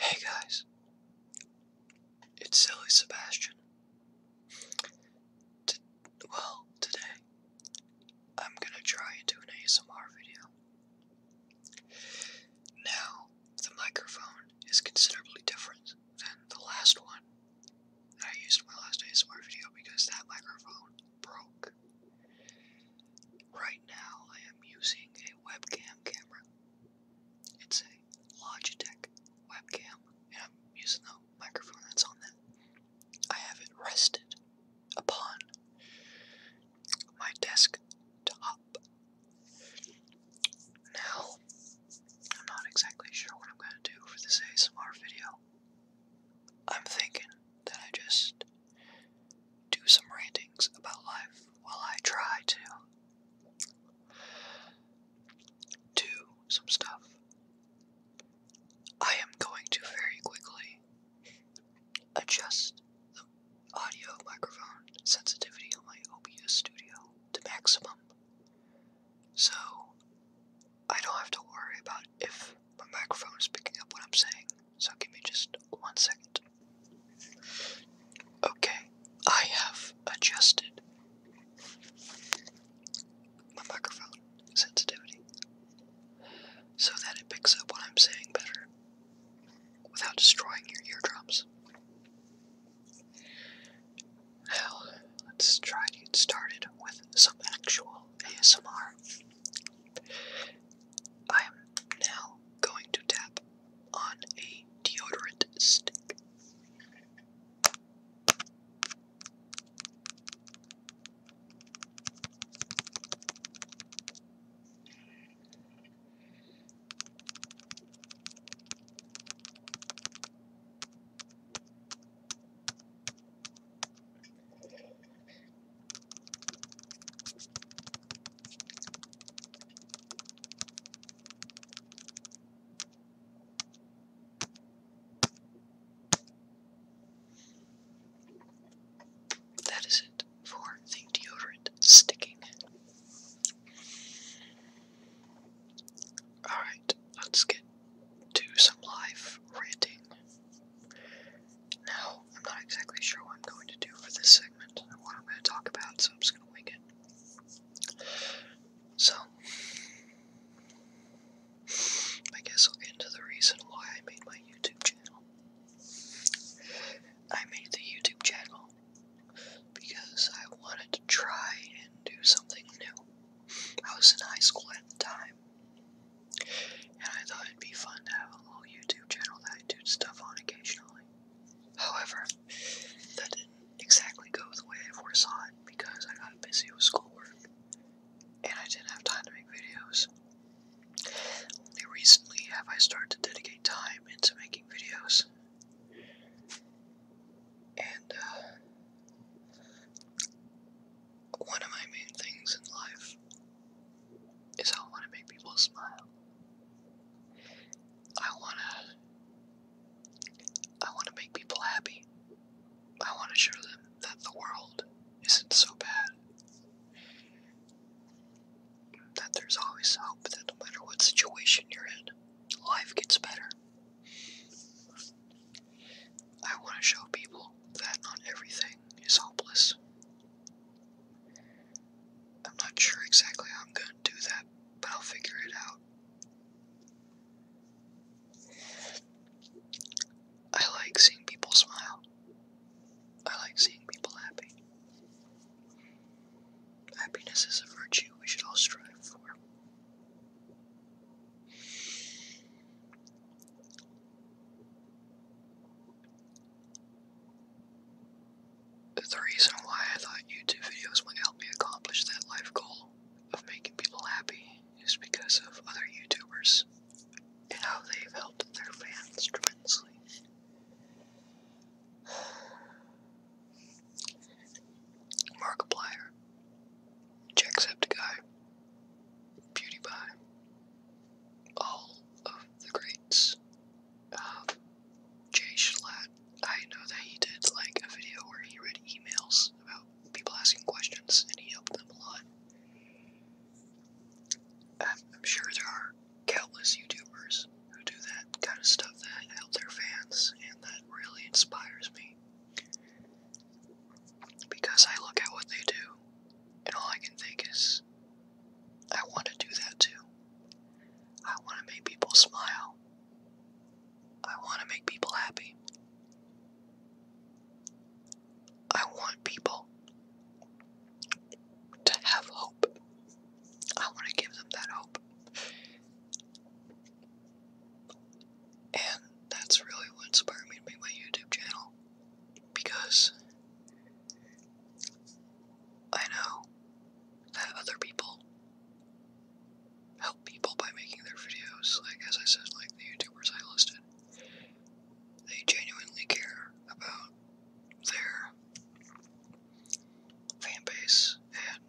Hey guys, it's Silly Sebastian. well, today I'm gonna try and do an ASMR video. Now, the microphone is considerably different than the last one I used in my last ASMR video because that microphone broke. Right now, I am using a webcam camera. It's a Logitech webcam, and I'm using the microphone that's on that. I have it rested upon my desktop. Now, I'm not exactly sure what I'm going to do for this ASMR video. I'm thinking that I just do some rantings about life while I try to do some stuff. I am going to very quickly adjust the audio microphone sensitivity on my OBS studio to maximum so I don't have to worry about if my microphone is picking up what I'm saying. So give me just one second. Okay, I have adjusted my microphone sensitivity so that it picks up what I'm saying better without destroying your eardrums. Now, let's try to get started with some actual ASMR. I am now going to tap on a deodorant stick. That is it for the deodorant sticking. Alright, let's get to some live ranting. Now, I'm not exactly sure what I'm going to do for this segment or what I'm going to talk about, so I'm just going to wing it. So, I guess I'll get into the reason why I made my YouTube channel. I made the YouTube channel because I wanted to try and do something new. I was in high school at the time, and I thought it'd be fun to have a little YouTube channel that I do stuff on occasionally. However, that didn't exactly go the way I foresaw it because I got busy with schoolwork and I didn't have time to make videos. Only recently have I started to dedicate time into making videos. And, uh, one of my main things in life is I want to make people smile. I want to I want to make people happy. I want to show them that the world isn't so bad. That there's always hope that no matter what situation you're in, life gets better. I want to show people that not everything is hopeless. I'm not sure exactly how I'm going to do that, but I'll figure it out. I like seeing people smile. I like seeing people happy. Happiness is a virtue we should all strive for. The reason why I thought YouTube videos would help me accomplish that life goal of making people happy is because of other YouTubers and how they've helped their fans tremendously. Markiplier Jacksepticeye, PewDiePie, all of the greats. Um, Jay Schlatt, I know that he did like a video where he read emails about people asking questions and he helped them a lot. I'm, um, I'm sure there are countless YouTubers who do that kind of stuff that help their fans and that really inspires me. Because I look at what they do and all I can think is, I want to do that too. I want to make people smile. I want to make people happy. I want people to have hope. I want to give them that hope. And that's really what inspired me to make my YouTube channel. Because I know that other people help people by making their videos. Like, as I said, like the YouTubers I listed, they genuinely care about their fan base and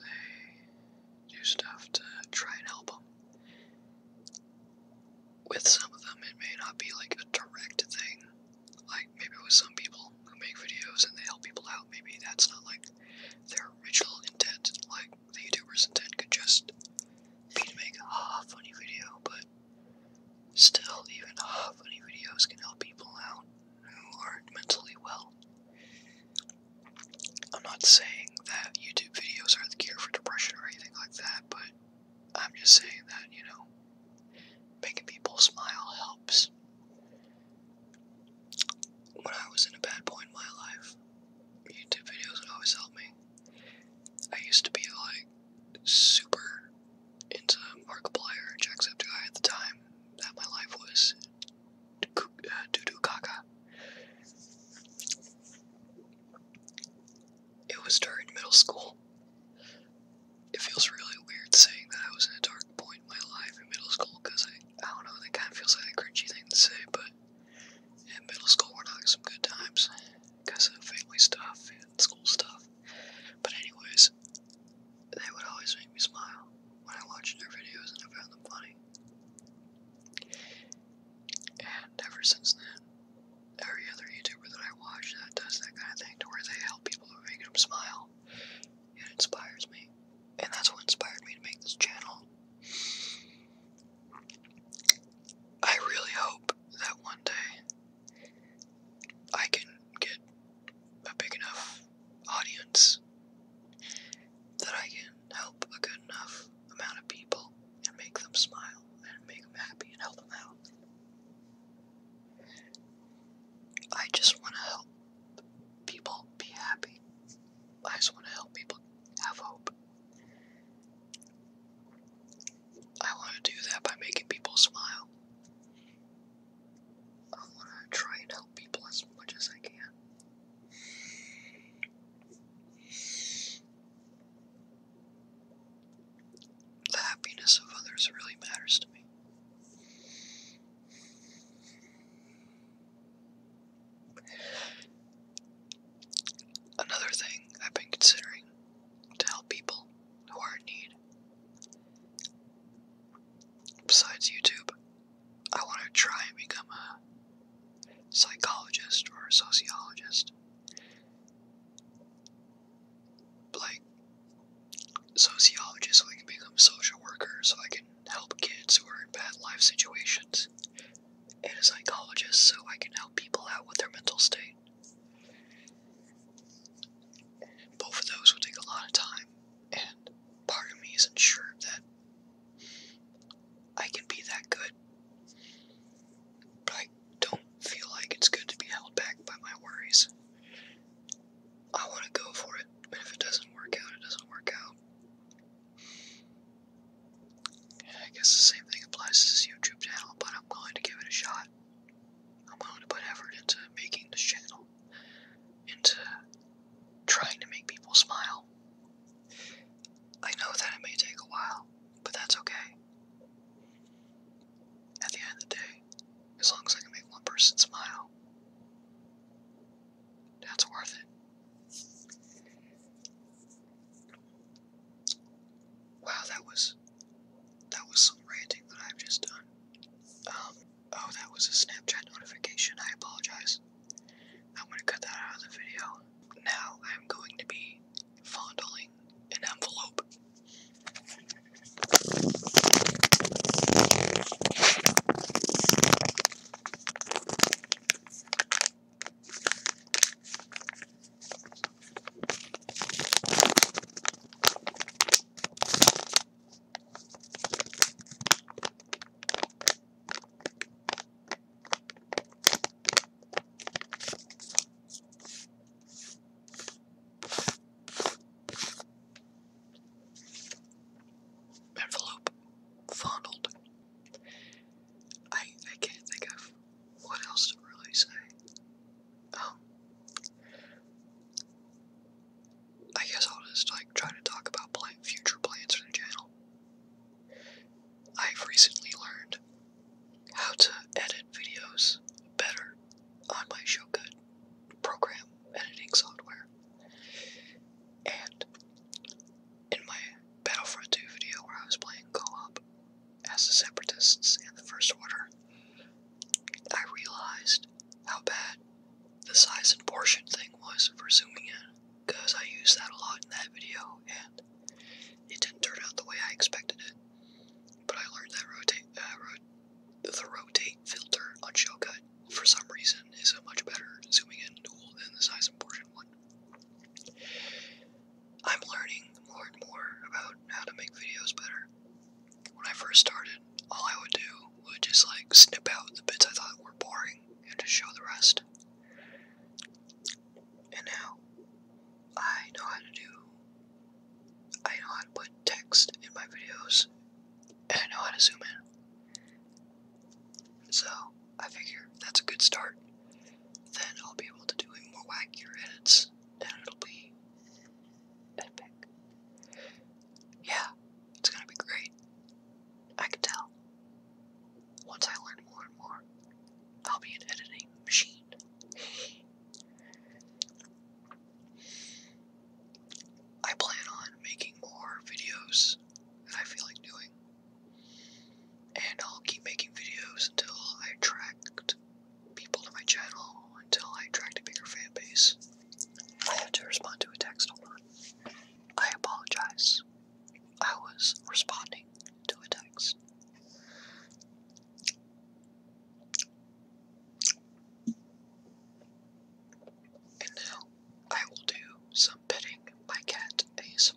they do stuff to try and help them with some of them, it may not be like a direct thing. Like maybe with some people who make videos and they help people out, maybe that's not like their original intent. Like the YouTuber's intent could just be to make a funny video, but still, even a funny videos can help people out who aren't mentally well. I'm not saying that YouTube videos are the cure for depression or anything like that, but I'm just saying that, you know, making people smile helps. When I was in a bad point in my life, YouTube videos would always help me. I used to be like super into Markiplier and Jacksepticeye at the time that my life was Dudukaka. Uh, it was during middle school. It feels really weird saying that I was in a dark point in my life in middle school because I, I don't know, that kind of feels like a cringy thing to say, but in middle school we're having some good times because of family stuff and school stuff. But anyways, they would always make me smile when I watched their videos and I found them funny. And ever since then, every other YouTuber that I watch that does that kind of thing to where they help people and make them smile, it inspires me. And that's what inspired me to make this channel. I really hope that one day I can get a big enough audience is that I can help a good enough amount of people and make them smile and make them happy and help them out. I just want to help people be happy. I just want to help people have hope. I want to do that by making people smile. I want to try and people as much as I can. The happiness of others really matters to me. Another thing I've been considering to help people who are in need, besides YouTube, I want to try and become a psychologist or a sociologist. Like, sociologist so I can become a social worker, so I can help kids who are in bad life situations, and a psychologist so I can help people out with their mental state. Both of those will take a lot of time, and part of me isn't sure that I can be that good. But I don't feel like it's good to be held back by my worries. I want to go for it, and if it doesn't work out, it doesn't work out. I guess the same thing applies to this YouTube channel, but I'm willing to give it a shot. I'm going to put effort into making this channel into trying to make people smile. I know that it may take a while, but that's okay. At the end of the day, as long as I can make one person smile, that's worth it. Wow, that was that was some ranting that I've just done. Um, Oh, that was a Snapchat notification. I apologize. I'm gonna cut that out of the video. Now I'm going to be fondling an envelope. Envelope fondled. I I can't think of what else to really say. Um, I guess I'll just like try to talk about future plans for the channel. I've recently learned how to edit videos better on my Showgood program editing software. And in my Battlefront 2 video where I was playing co-op as the Separatists and the First Order, I realized how bad the size and portion thing was for zooming in, because I used that a lot in that video, and it didn't turn out the way I expected it. But I learned that rotate, uh, the rotate filter on Showcut, for some reason, is a much better zooming in tool than the size and portion one. I'm learning more and more about how to make videos better, when I first started, all I would do would just like snip out the bits I thought were boring and just show the rest. And now I know how to do, I know how to put text in my videos, and I know how to zoom in. So I figure that's a good start. Then I'll be able to do more wackier edits, and it'll be epic. Yeah, it's gonna be great. I can tell. Once I learn more and more, I'll be an editing machine. I plan on making more videos that I feel like doing. And I'll keep making videos until I attract people to my channel until I attract a bigger fan base. I have to respond to a text, hold on. I apologize. I was responding to a text. And now I will do some petting my cat ASMR.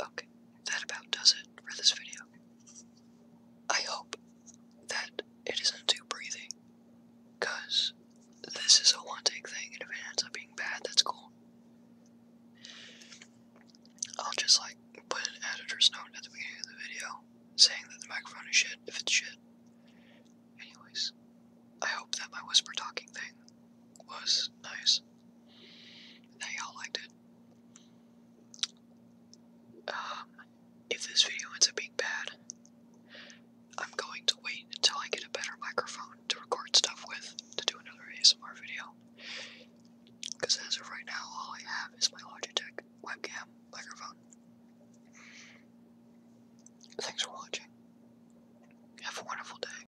Okay, that about does it for this video. I hope that it isn't too breathy, because this is a one take thing, and if it ends up being bad, that's cool. I'll just like put an editor's note at the beginning of the video saying that the microphone is shit if it's shit. Anyways, I hope that my whisper talking thing was nice that all liked it. Um, if this video ends up being bad, I'm going to wait until I get a better microphone to record stuff with to do another ASMR video. Because as of right now, all I have is my Logitech webcam microphone. Thanks for watching. Have a wonderful day.